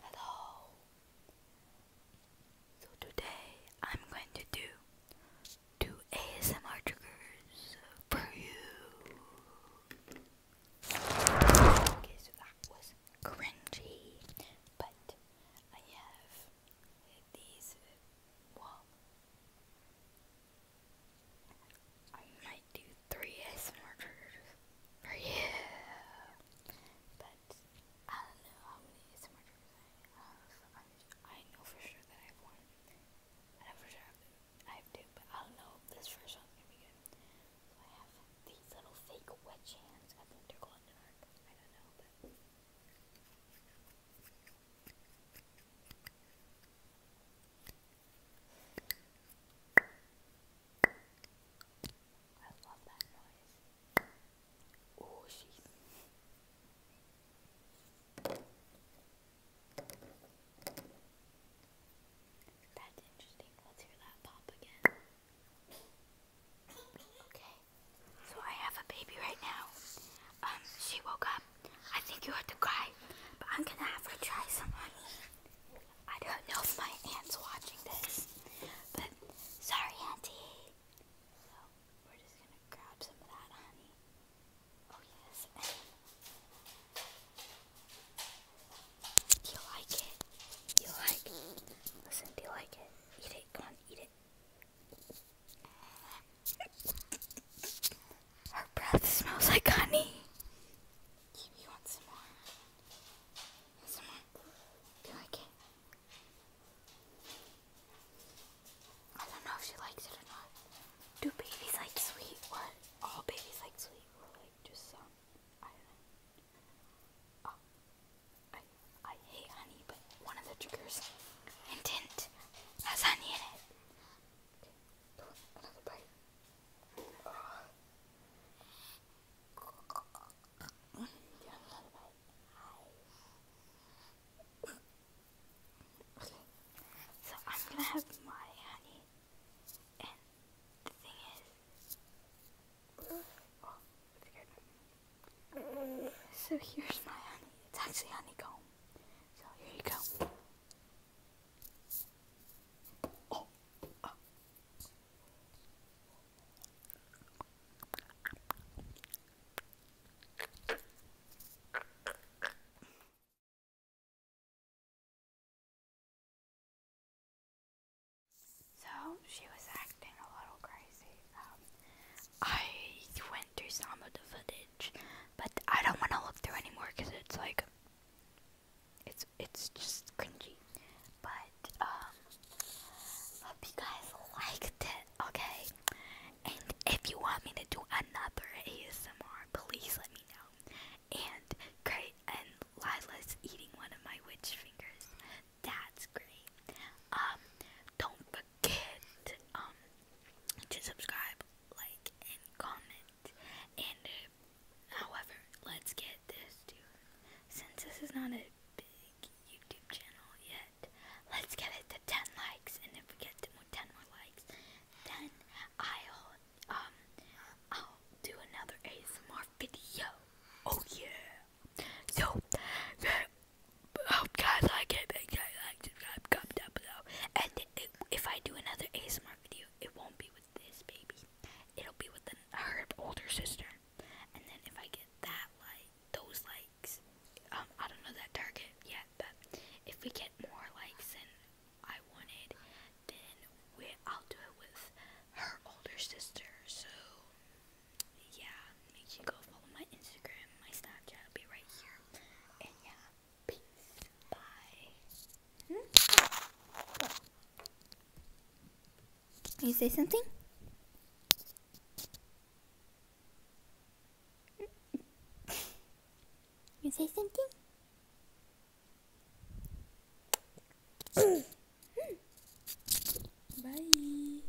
Hello. So today I'm going to do two ASMR triggers for you. Okay, so that was cringy, but I have these. Well, I might do three ASMR triggers for But I don't know how many ASMR triggers I have. i know for sure that I have one. I know for sure I have, two, but I don't know if this first one's gonna be good. I have these little fake wedge hands. I think they're called dark. I don't know, but. I love that noise. Oh, she's. That's interesting. Let's hear that pop again. Okay. So I have a baby right now. Um, she woke up. I think you heard to cry, but I'm gonna have her try some honey. I don't know if my aunt's watching this, but sorry, auntie. So we're just gonna grab some of that honey. Oh yes. do you like it? you like it? Listen, do you like it? Eat it. Come on, eat it. Her breath smells like honey. Do babies like sweet or all babies like sweet like just some? I don't know. Oh. I, I hate honey, but one of the triggers, hint, has honey in it. Another bite. Oh. another bite. Okay. So I'm gonna have my honey and the thing is So here's my honey. It's actually honeycomb. So here you go. Oh. So she was acting a little crazy. Um, I went through some of the footage but I don't want to look through anymore because it's like, it's it's just cringy. But um, hope you guys liked it, okay? And if you want me to do another ASMR, please let me know. And great, and Lila's eating one of my witch fingers. That's great. Um, don't forget um, to subscribe, like, and comment. And uh, however, let's get this to since this is not a big YouTube channel yet, let's get it to 10 likes. And if we get to 10 more likes, then I'll um I'll do another ASMR video. Oh yeah. So yeah hope guys like it. Make like, subscribe, down below. And if I do another ASMR video, it won't be with this baby. It'll be with her older sister. And then if I get that like those likes, um, I don't know that target yet, but if we get more likes than I wanted, then we I'll do it with her older sister. So yeah, make sure you go follow my Instagram, my Snapchat be right here. And yeah, peace. Bye. You say something? You say something? Bye.